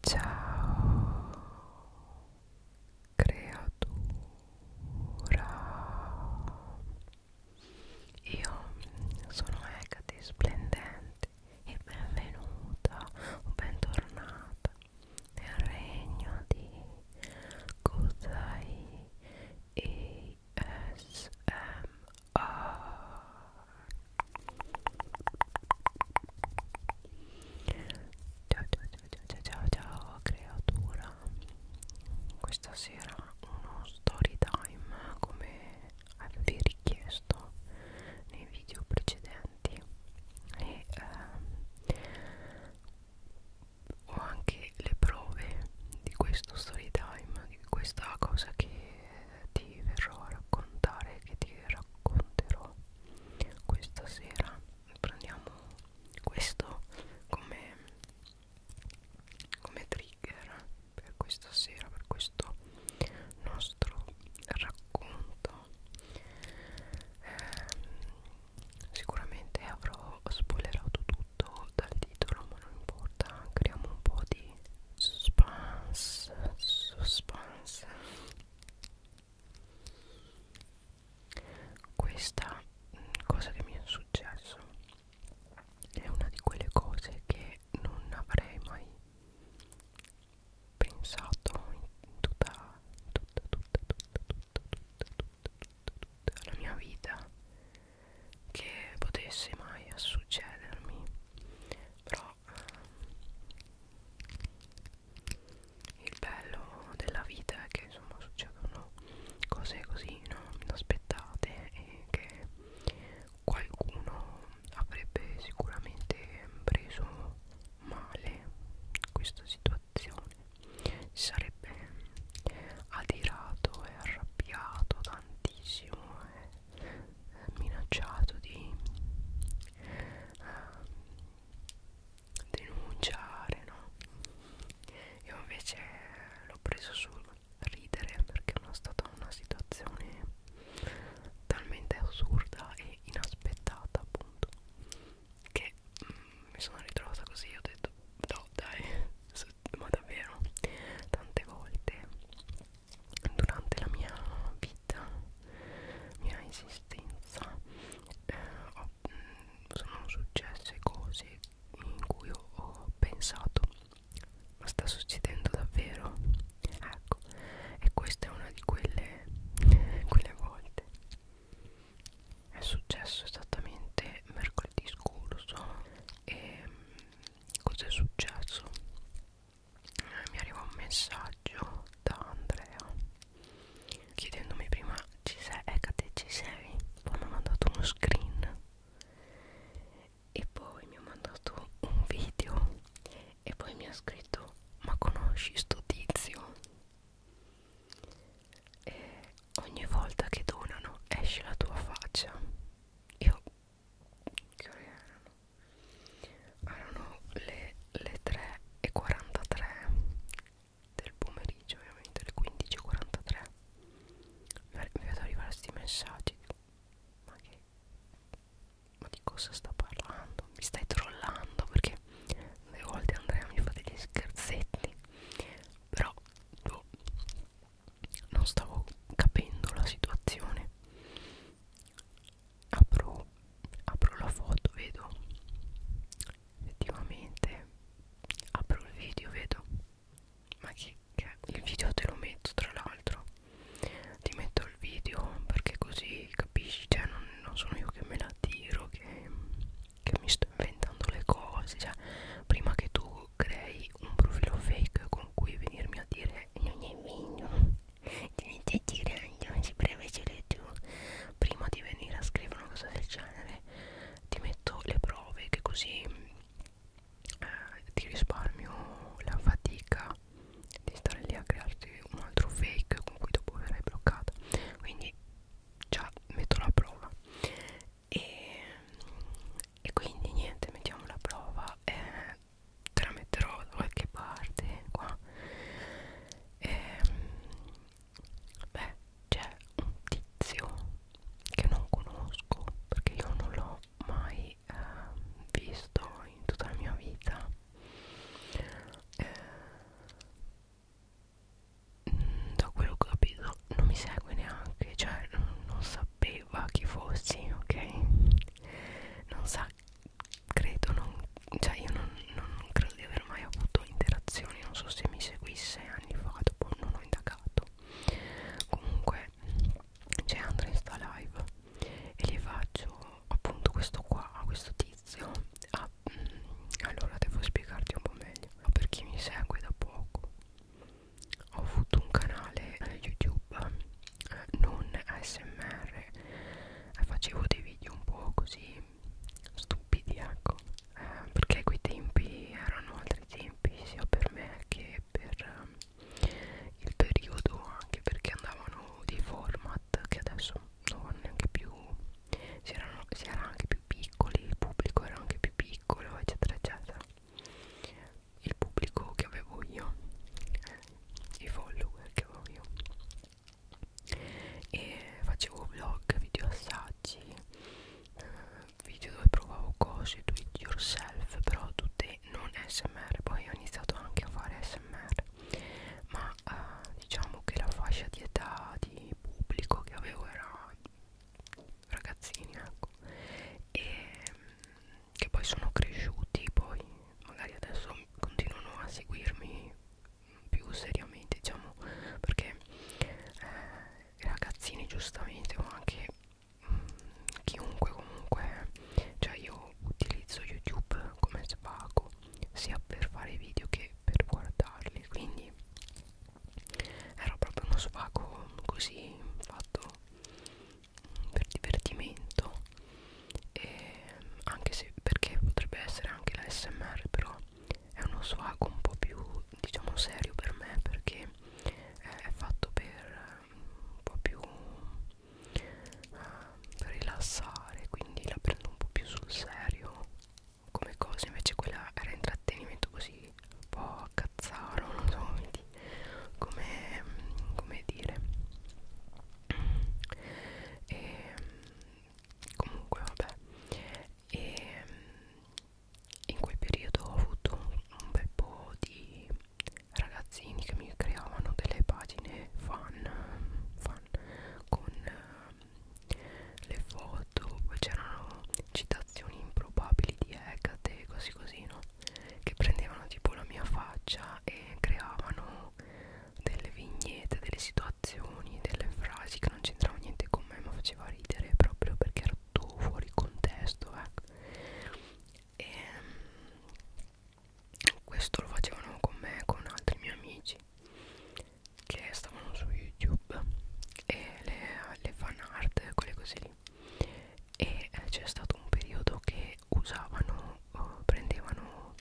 Ciao creatura Io sono Hecate Splendente e benvenuta o bentornata nel regno di Kusai ASMR Ciao ciao ciao ciao ciao ciao creatura Questa sera uno story time come avevi richiesto nei video precedenti e eh, ho anche le prove di questo story time di questa cosa che ti verrò a raccontare che ti racconterò questa sera prendiamo questo come, come trigger per questa sera per questo nostro racconto eh, sicuramente avrò spoilerato tutto dal titolo ma non importa creiamo un po' di suspense suspense questa mh, mm, cosa che mi è successo è una di quelle cose che non avrei mai pensato in tutta tutta tutta tutta tutta tutta tutta, tutta, tutta la mia vita che potesse mai succedermi però il bello della vita è che insomma succedono cose così no? inaspettate e che qualcuno avrebbe sicuramente preso male questa situazione si sarebbe adirato e arrabbiato tantissimo e eh minacciato di uh, ehm, denunciare, no? Io invece l'ho preso sul ridere perché è stata una situazione talmente assurda e inaspettata appunto che mm, mi sono ritrovata così ho detto no dai ma davvero tante volte durante la mia vita, mia esistenza, eh, ho, mm, sono successe cose in cui ho, ho pensato ma sta succedendo davvero? Ecco, e questa è una di quelle, quelle volte. È successo esattamente mercoledì scorso e mm, cos'è successo? eh, mi arriva un messaggio da Andrea chiedendomi prima ci sei, Ecate ecco ci sei? Poi mi ha mandato uno screen e poi mi ha mandato un video e poi mi ha scritto ma conosci sto tizio? E ogni volta che donano esce la tua faccia. Io che ore erano? erano le, le 3.43 del pomeriggio ovviamente le 15.43 mi vedo arrivare questi messaggi ma che ma di cosa sta parlando mi stai trollando perché le volte Andrea mi fa degli scherzetti però boh, non stavo capendo la situazione apro, apro la foto vedo effettivamente apro il video vedo ma che, che il video te lo metto tra l'altro ti metto il video perché così capisci cioè non, non sono io che me la tiro che, che mi sto inventando le cose cioè prima che tu crei un profilo fake con cui venirmi a dire non è vero Niente di grandi, premecele tu. Prima di venire a scrivere una cosa del genere, ti metto le prove che così eh, ti risparmio la fatica di stare lì a crearti un altro fake con cui dopo verrai bloccata. Quindi già metto la prova. E, e quindi niente, mettiamo la prova. Eh, te la metterò da qualche parte qua e, ehm, beh c'è un tizio che non conosco perché io non l'ho mai eh, visto in tutta la mia vita eh, da quello che ho capito non mi segue neanche cioè non, non sapeva chi fossi ok non sa credo non, cioè io non, non, non credo di aver mai avuto interazioni non so se mi seguisse anni fa dopo non ho indagato comunque c'è Andrea in sta live e gli faccio appunto questo qua a questo tizio ah, mh, mm, allora devo spiegarti un po' meglio per chi mi segue da poco ho avuto un canale eh, youtube non ASMR eh, facevo dei video un po' così stupidi ecco eh, perché quei tempi erano altri tempi sia per me che per eh, il periodo anche perché andavano dei format che adesso non vanno neanche più si, erano, si era anche più piccoli il pubblico era anche più piccolo eccetera eccetera il pubblico che avevo io i follower che avevo io e facevo vlog, video assaggi, eh, video dove provavo cose, do it yourself, però tutte non smr, poi ho iniziato anche a fare smr, ma eh, diciamo che la fascia di età di pubblico che avevo era ragazzini ecco e mm, che poi sono cresciuti poi magari adesso continuano a seguirmi più seriamente diciamo perché eh, ragazzini giustamente ma anche mh, mm, chiunque comunque cioè io utilizzo youtube come svago sia per fare video che per guardarli quindi era proprio uno svago così fatto per divertimento e anche se perché potrebbe essere anche la smr però è uno swag un po' più diciamo serio per me perché è fatto per un po' più uh, rilassare quindi la prendo un po' più sul serio come cosa invece quella era intrattenimento così un po' a cazzaro non so come, come dire e comunque vabbè e in quel periodo ho avuto un, un bel po' di ragazzini che mi creavano delle pagine fan, fan con uh, le foto poi c'erano citazioni improbabili di Hecate così così no che prendevano tipo la mia faccia e creavano delle vignette, delle situazioni, delle frasi che non c'entravano niente con me ma faceva ridere proprio perché era tutto fuori contesto ecco. e mm, questo lo facevano con me e con altri miei amici che stavano su youtube e le, le fan art quelle cose lì e eh, c'è stato un periodo che usavano, uh, prendevano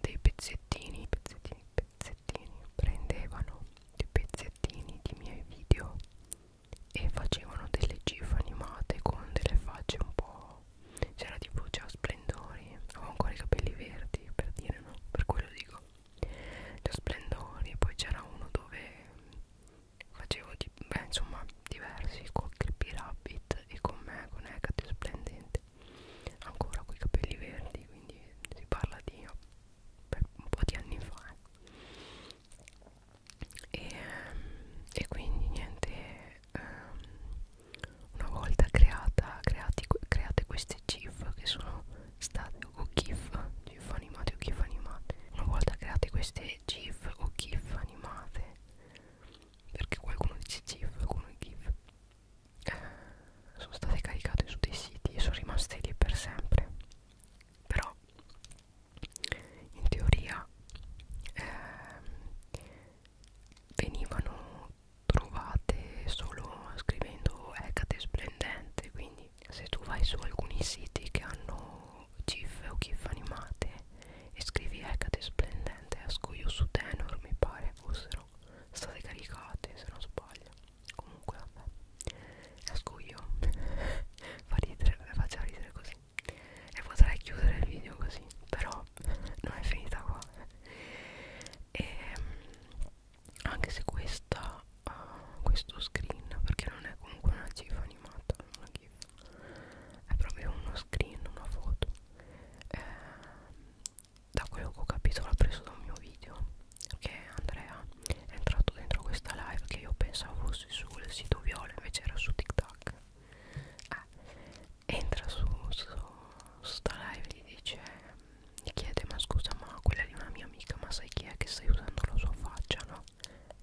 dei pezzettini, pezzettini, pezzettini, prendevano dei pezzettini di miei video e facevano delle gif animate con delle facce un po' c'era tipo già splendori avevo ancora i capelli verdi per dire no per quello dico già splendori poi c'era uno dove facevo di beh insomma diversi con Creepy Rabbit e con me con Hecate Splendente ancora con i capelli verdi quindi si parla di un po' di anni fa eh. e, e quindi niente um, una volta creata creati, create queste GIF che sono state o GIF GIF animate o GIF animate una volta create queste GIF o GIF animate perché qualcuno dice GIF, qualcuno GIF sono state caricate su dei siti e sono rimaste lì per sempre però in teoria eh, venivano trovate solo scrivendo Hecate splendente quindi se tu vai su alcuni siti che hanno GIF o GIF animate e scrivi Hecate Splendente a scoglio su Tenor mi pare fossero state caricate se non sbaglio comunque vabbè a scoglio fa ridere, faccia ridere così e potrei chiudere il video così però non è finita qua e ehm, anche se questa uh, questo screen perché non è comunque una gif animata una gif è proprio uno screen, una foto eh, da quello che ho capito l'ha preso da un mio video che Andrea è entrato dentro questa live che io pensavo fosse sul sito viola invece era su TikTok eh, entra su, su, su sta live e gli dice gli chiede ma scusa ma quella di una mia amica ma sai chi è che stai usando la sua faccia no?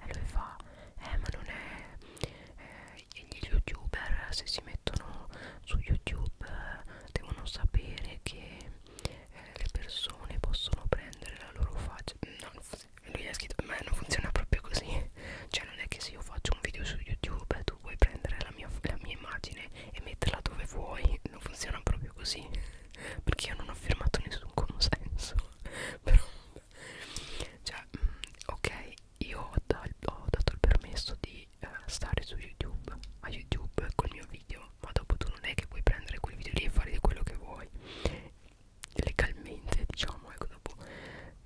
e lui fa eh ma non è eh, gli youtuber se si mettono su youtube eh, devono sapere che eh, le persone possono prendere la loro faccia mm, no, lui ha scritto ma non funziona proprio così cioè non è che se io faccio un video su youtube tu puoi prendere la mia, la mia immagine e metterla dove vuoi non funziona proprio così perché io non ho firmato nessun consenso però cioè mm, ok io ho, da, ho dato il permesso di eh, stare su youtube a youtube col mio video ma dopo tu non è che puoi prendere quel video lì e fare quello che vuoi legalmente diciamo ecco dopo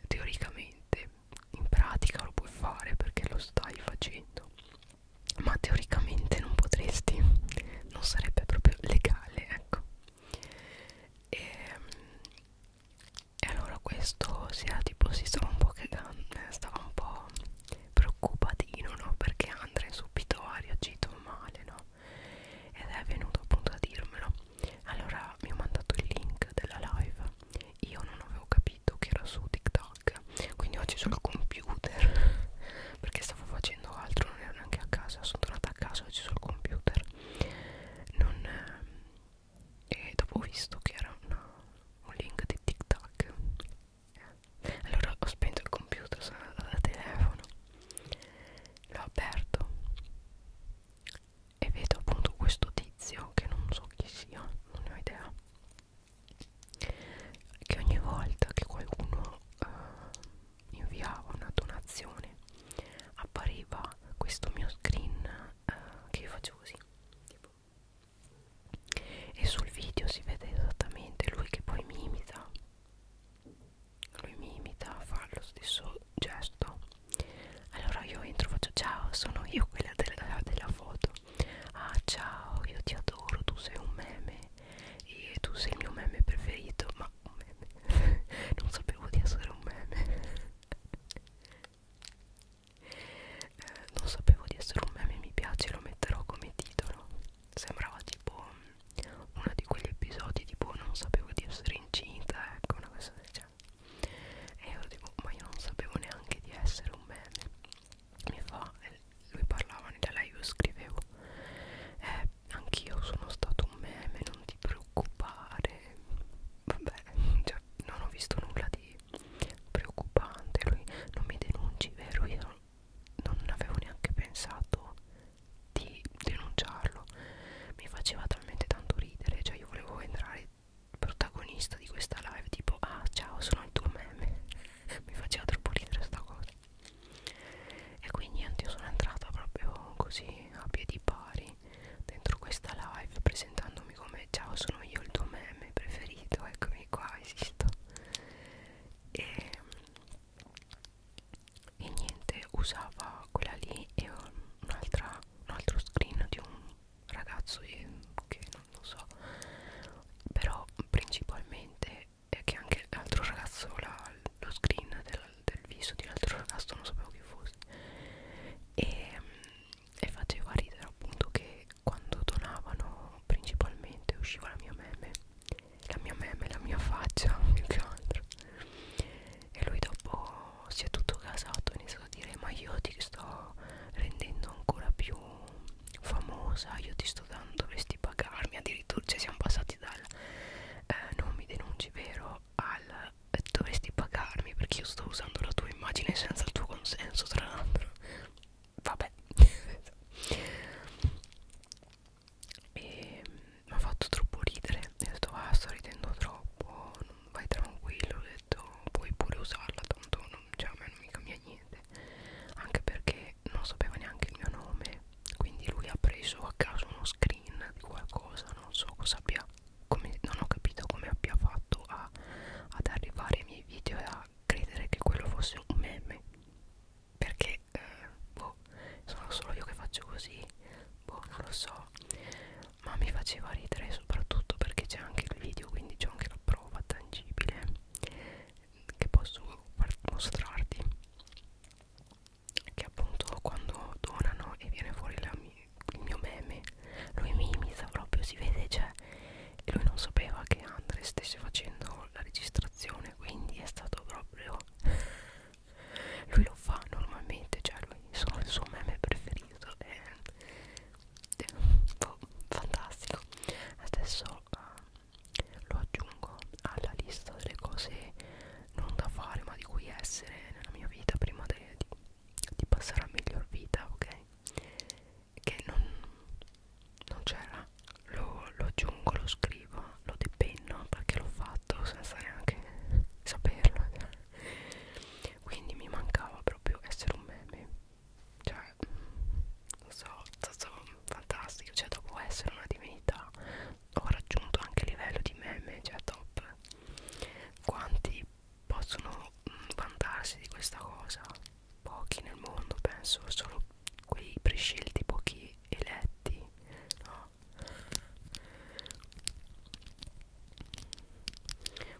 teoricamente in pratica lo puoi fare perché lo stai facendo ma teoricamente non potresti non sarebbe proprio legale ecco e, ehm, e allora questo si era tipo si stava un po' cagando eh, stava un po' preoccupatino no perché Andre subito ha reagito male no ed è venuto appunto a dirmelo allora mi ha mandato il link della live io non avevo capito che era su TikTok quindi oggi sul computer perché stavo facendo altro non ero neanche a casa sono tornata a casa oggi sul computer non, ehm, e dopo ho visto che era una, un link di TikTok allora ho spento il computer sono andata da telefono l'ho aperto e vedo appunto questo tizio che non so chi sia non ne ho idea che ogni volta che qualcuno uh, inviava una donazione appariva questo mio screen eh, che io facevo così tipo. e sul video si vede esattamente lui che poi mi imita lui mi imita fa lo stesso gesto allora io entro faccio ciao sono io quella della, della foto ah ciao io ti adoro tu sei un meme e tu sei il mio meme preferito ma un meme non sapevo di essere un meme eh, non sapevo di essere un meme mi piace lo metterò come titolo sembrava tipo mm, uno di quegli episodi tipo non sapevo di essere incinta ecco una cosa del genere e io dico ma io non sapevo neanche di essere un meme mi fa lui parlava nella live io scrivevo eh, anch'io sono stato un meme non ti preoccupare vabbè, cioè, non ho visto nulla di preoccupante. Lui non mi denunci, vero? Io non, non avevo neanche pensato di denunciarlo. Mi faceva talmente tanto ridere, cioè io volevo entrare protagonista di questa live tipo ah ciao sono il tuo meme mi faceva troppo ridere sta cosa e quindi niente io sono entrata proprio così a piedi pari dentro questa live presentandomi come ciao sono io il tuo meme preferito eccomi qua esisto e, e niente usava quella lì e un'altra un altro screen di un ragazzo che non lo so però principalmente è che anche l'altro ragazzo la, lo screen del, del viso di un altro ragazzo, non sapevo chi fosse e, mm, e faceva ridere appunto che quando donavano principalmente usciva la mia meme la mia meme, la mia faccia più che altro e lui dopo si è tutto casato e ha iniziato a dire ma io ti sto rendendo ancora più famosa io ti sto dando dovresti pagarmi addirittura cioè siamo passati dal eh, non mi denunci vero al dovresti pagarmi perché io sto usando la tua immagine senza il tuo consenso tra l'altro vabbè e mi mm, ha fatto troppo ridere ho detto ah sto ridendo troppo non vai tranquillo ho detto puoi pure usarla tanto non, cioè, a me non mi cambia niente anche perché non sapeva neanche il mio nome quindi lui ha preso a caso uno screen di qualcosa non so cosa abbia come, non ho capito come abbia fatto a, ad arrivare ai miei video e a credere che quello fosse un meme perché eh, boh, sono solo io che faccio così boh non lo so ma mi faceva ridere soprattutto perché c'è anche il video quindi c'è anche la prova tangibile che posso mostrarti che appunto quando donano e viene fuori la mia il mio meme lui mi imita proprio si vede cioè e lui non sapeva che Andre stesse facendo la registrazione quindi è stato proprio lui lo fa normalmente cioè lui sono il suo meme preferito è, è boh, fantastico adesso uh, lo aggiungo alla lista delle cose non da fare ma di cui essere nella mia vita prima de, di, di passare a miglior vita, ok? Che non, non c'era, lo, lo aggiungo, lo scrivo, lo depenno perché l'ho fatto senza neanche saperlo. Quindi mi mancava proprio essere un meme, cioè, non so, stato fantastico, cioè dopo essere una divinità ho raggiunto anche il livello di meme, cioè top quanti possono mm, vantarsi di questa cosa? Pochi nel mondo, penso, solo quei prescelti, pochi eletti, no?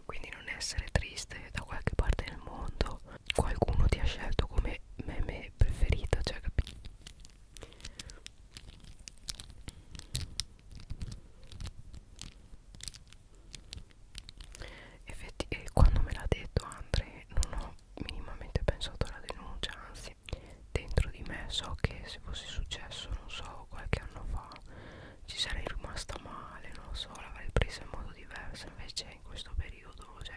Quindi non essere triste da qualche parte nel mondo qualcuno ti ha scelto come meme preferito, cioè capito? Effetti, e quando me l'ha detto Andre non ho minimamente pensato alla denuncia anzi dentro di me so che se fosse successo non so qualche anno fa ci sarei rimasta male non so l'avrei presa in modo diverso invece in questo periodo cioè,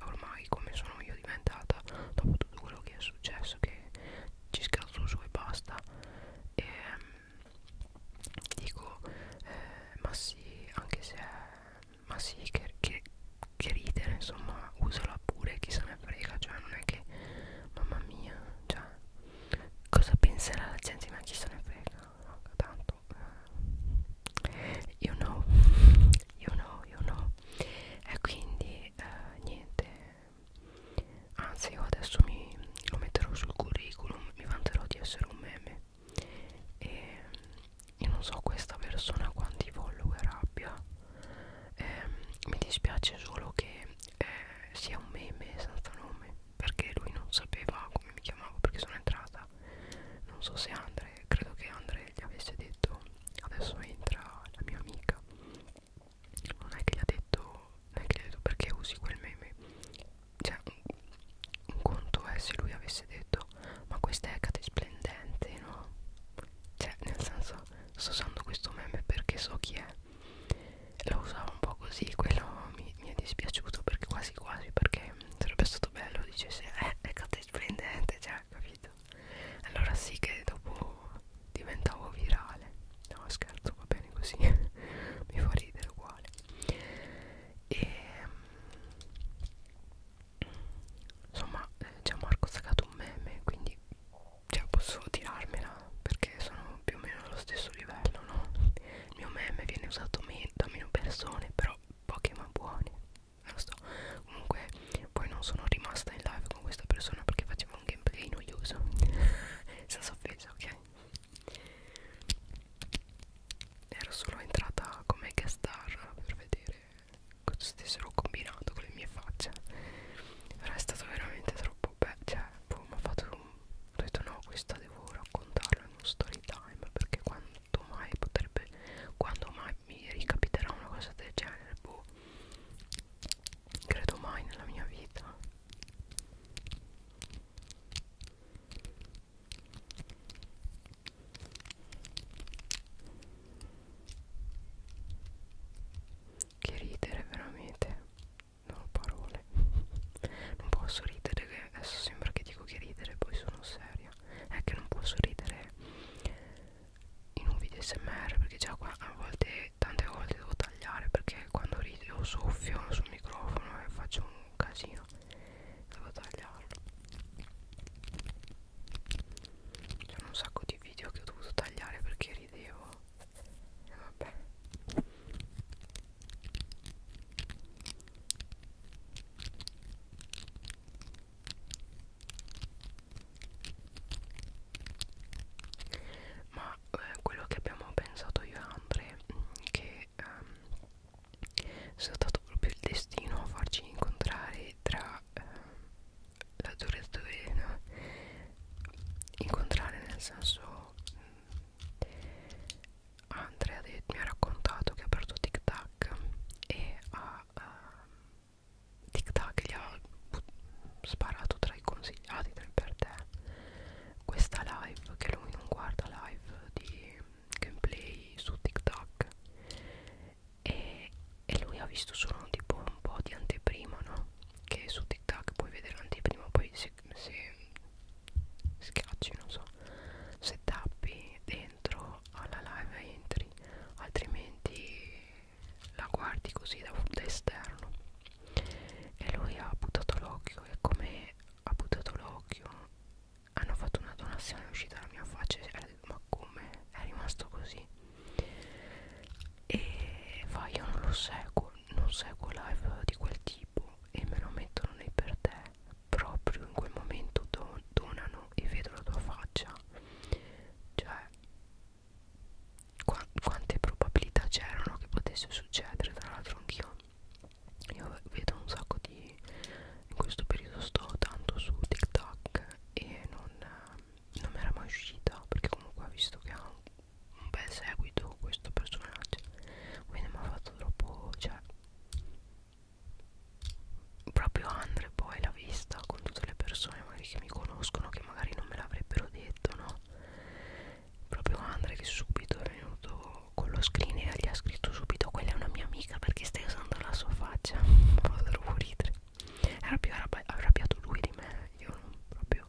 ormai come sono io diventata dopo tutto quello che è successo che ci scherzo su e basta e mm, dico eh, ma sì anche se è, ma sì che, che, che ridere insomma usala pure chi se ne frega cioè non è che mamma mia cioè cosa penserà la gente ma chi se ne frega eh. no, tanto you know you know you know e quindi eh, niente anzi io adesso mi, lo metterò sul curriculum mi vanterò di essere un meme e io non so questa persona quanti follower abbia eh, mi dispiace solo che eh, sia un meme senza nome perché lui non sapeva come mi chiamavo perché sono entrata non so se Andre credo che Andre gli avesse detto adesso entra la mia amica non è che gli ha detto non è che gli ha detto perché usi quel meme cioè un, un conto è se lui avesse detto ma questa è cate splendente no cioè nel senso sto usando questo meme perché so chi è lo usavo un po' così quello mi, mi è dispiaciuto perché quasi quasi perché sarebbe stato bello dicesse eh è cate splendente cioè capito allora sì che dopo diventavo virale no scherzo va bene così mi fa ridere uguale e insomma eh, Gianmarco ha saccato un meme quindi cioè, posso tirarmela perché sono più o meno allo stesso livello no il mio meme viene usato meno, da meno persone però poche ma buone non lo so comunque poi non sono rimasta in live con questa persona perché facevo un gameplay noioso senza offesa ok ero solo entrata come guest star per vedere cosa stessero combinato con le mie facce però è stato veramente troppo bello cioè boh, mi ha fatto un... ho detto no questa devo raccontarla in uno story time perché quanto mai potrebbe quando mai mi ricapiterà una cosa del genere boh credo mai nella mia vita che ridere veramente Non ho parole Non posso ridere che Adesso sembra che dico che ridere Poi sono seria È che non posso ridere In un video smr Perché già qua a volte che tante volte devo tagliare perché quando rido soffio sul microfono e faccio un casino devo tagliarlo c'è un sacco di video che ho dovuto tagliare perché ridevo e vabbè ma eh, quello che abbiamo pensato io e Andre mm, che ehm, è stato proprio il destino a farci incontrare tra ehm, la durata no? incontrare nel senso mh, mm, Andre ha detto, mi ha raccontato che ha aperto Tic Tac e ha, uh, ehm, Tic Tac gli ha sparato tra i consigliati tra i per te questa live che lui non guarda live di gameplay su TikTok e, e lui ha visto solo tipo un po' di anteprima no? che su TikTok puoi vedere l'anteprima poi se, se schiacci non so se tappi dentro alla live entri altrimenti la guardi così da, da esterno e lui ha buttato l'occhio e come ha buttato l'occhio hanno fatto una donazione è uscita la mia faccia e ha detto ma come è rimasto così e fa io non lo seguo non seguo live di quel tipo e me lo mettono nei per te proprio in quel momento don donano e vedo la tua faccia cioè Qua quante probabilità c'erano che potesse succedere tra l'altro anch'io io vedo un sacco di in questo periodo sto tanto su TikTok e non, non mi era mai uscita perché comunque ha visto che ha un, un bel seguito questo personaggio quindi mi ha fatto troppo cioè proprio Andre poi l'ha vista con tutte le persone magari che mi conoscono che magari non me l'avrebbero detto no proprio Andre che subito è venuto con lo screen e gli ha scritto subito quella è una mia amica perché stai usando la sua faccia vado a ridere era più arrabbiato lui di me io non proprio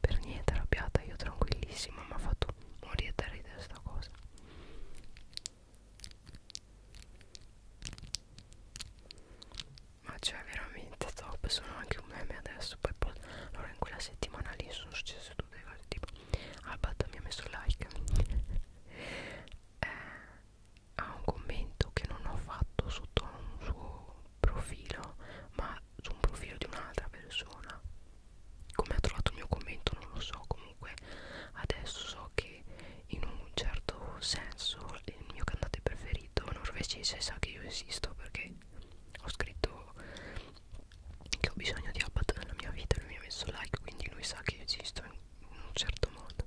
per niente arrabbiata io tranquillissima mi ha fatto morire da ridere sta cosa ma cioè veramente top sono anche un meme adesso poi poi allora in quella settimana lì sono successe tutte le cose tipo Albat mi ha messo like eh, ha un commento che non ho fatto sotto un suo profilo ma su un profilo di un'altra persona come ha trovato il mio commento non lo so comunque adesso so che in un certo senso il mio cantante preferito norvegese sa che io esisto perché ho scritto che ho bisogno di Abbat nella mia vita lui mi ha messo like quindi lui sa che esisto in un certo modo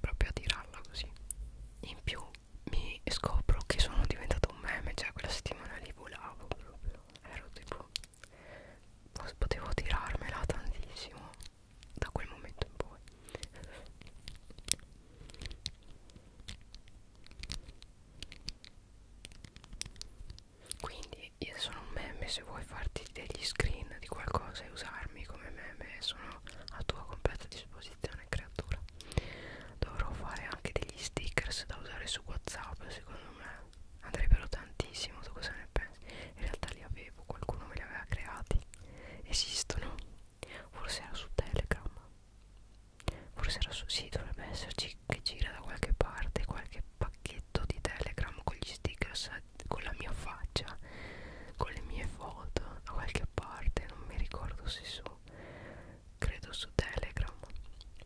proprio a tirarla così in più mi scopro che sono diventato un meme cioè quella settimana lì volavo proprio ero tipo potevo tirarmela tantissimo da quel momento in poi quindi io sono un meme, se vuoi farti degli screen di qualcosa e usarmi come meme sono a tua completa disposizione creatura. Dovrò fare anche degli stickers da usare su Whatsapp, secondo me andrebbero tantissimo, tu cosa ne pensi? In realtà li avevo, qualcuno me li aveva creati. Esistono forse era su Telegram forse era su sì dovrebbe esserci che gira da qualche parte qualche pacchetto di Telegram con gli stickers con la mia faccia con le mie foto da qualche parte non mi ricordo se su credo su Telegram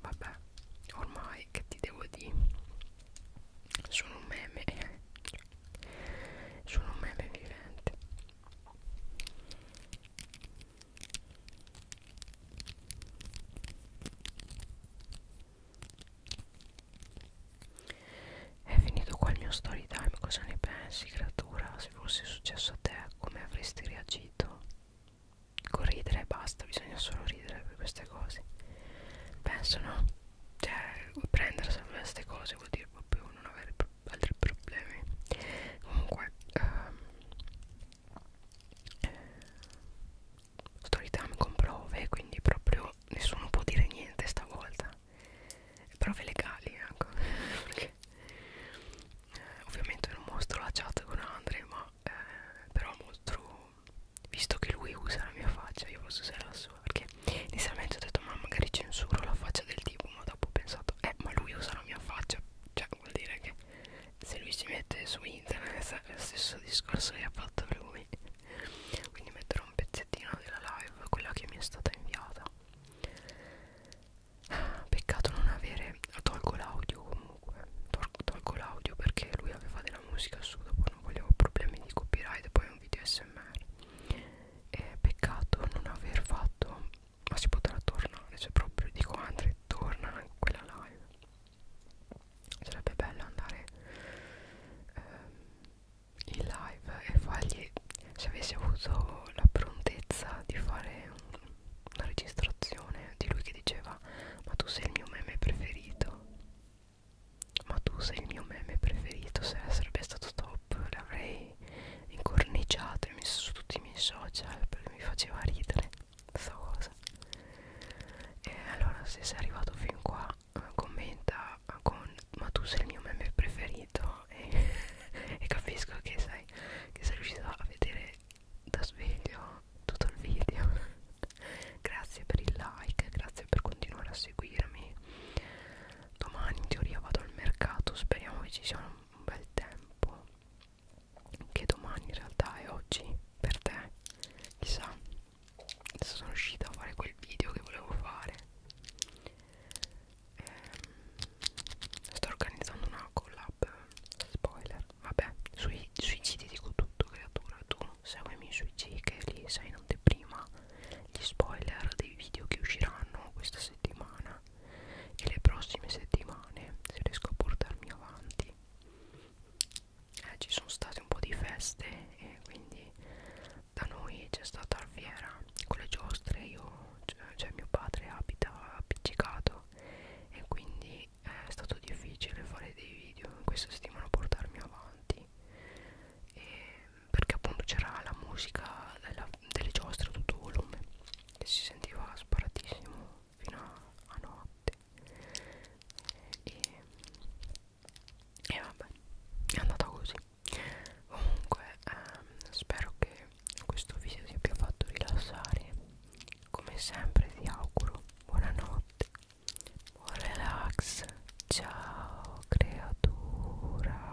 vabbè ormai che ti devo dire sono un meme sono un meme vivente è finito qua il mio story time, cosa ne pensi creatura? Se fosse successo a te come avresti reagito? Corridere e basta, bisogna solo ridere per queste cose Penso no? Cioè prendersela per queste cose vuol dire proprio non avere altri problemi comunque ehm, Storytime con prove quindi proprio nessuno può dire niente stavolta prove legali ecco perché eh, ovviamente non mostro la chat con Andre ma eh, però mostro visto che lui usa la mia faccia io posso usare la sua perché inizialmente ho detto ma magari censuro la faccia del tipo insomma dopo ho pensato eh ma lui usa la mia faccia cioè vuol dire che se lui si mette su internet è lo stesso discorso che ha fatto lui quindi metterò un pezzettino della live quella che mi è stata inviata peccato non avere tolgo l'audio comunque Tol tolgo l'audio perché lui aveva della musica su dopo non volevo problemi di copyright poi è un video smr e peccato non aver fatto ma si potrà tornare cioè proprio dico Andre torna in quella live sarebbe bello andare ehm, in live e fargli se avessi avuto la prontezza di fare un, una registrazione di lui che diceva ma tu sei il mio meme preferito ma tu sei il mio meme preferito se sarebbe stato top l'avrei così incorniciato e messo su tutti i miei social perché mi faceva ridere questa cosa e allora se sei arrivato fin qua commenta con ma tu sei il mio meme preferito e, e capisco che sei, che sei riuscito a vedere da sveglio tutto il video grazie per il like grazie per continuare a seguirmi domani in teoria vado al mercato speriamo che ci sia un un bel tempo che domani in realtà è oggi per te chissà sono riuscita a fare quel video che volevo fare ehm, sto organizzando una collab spoiler vabbè sui, sui c ti dico tutto creatura tu seguimi sui c che lì sai in anteprima gli spoiler dei video che usciranno questa settimana e le prossime settimane se riesco a portarmi avanti eh, ci sono state un po' di feste e quindi da noi c'è stata Alfiera con le giostre io cioè, cioè mio padre abita appiccicato e quindi eh, è stato difficile fare dei video in questa settimana portarmi avanti e perché appunto c'era la musica della delle giostre a tutto volume e si sentiva sparatissimo fino a, a notte e, e vabbè è andata così comunque ehm, spero che questo video ti abbia fatto rilassare come sempre ti auguro buonanotte buon relax ciao creatura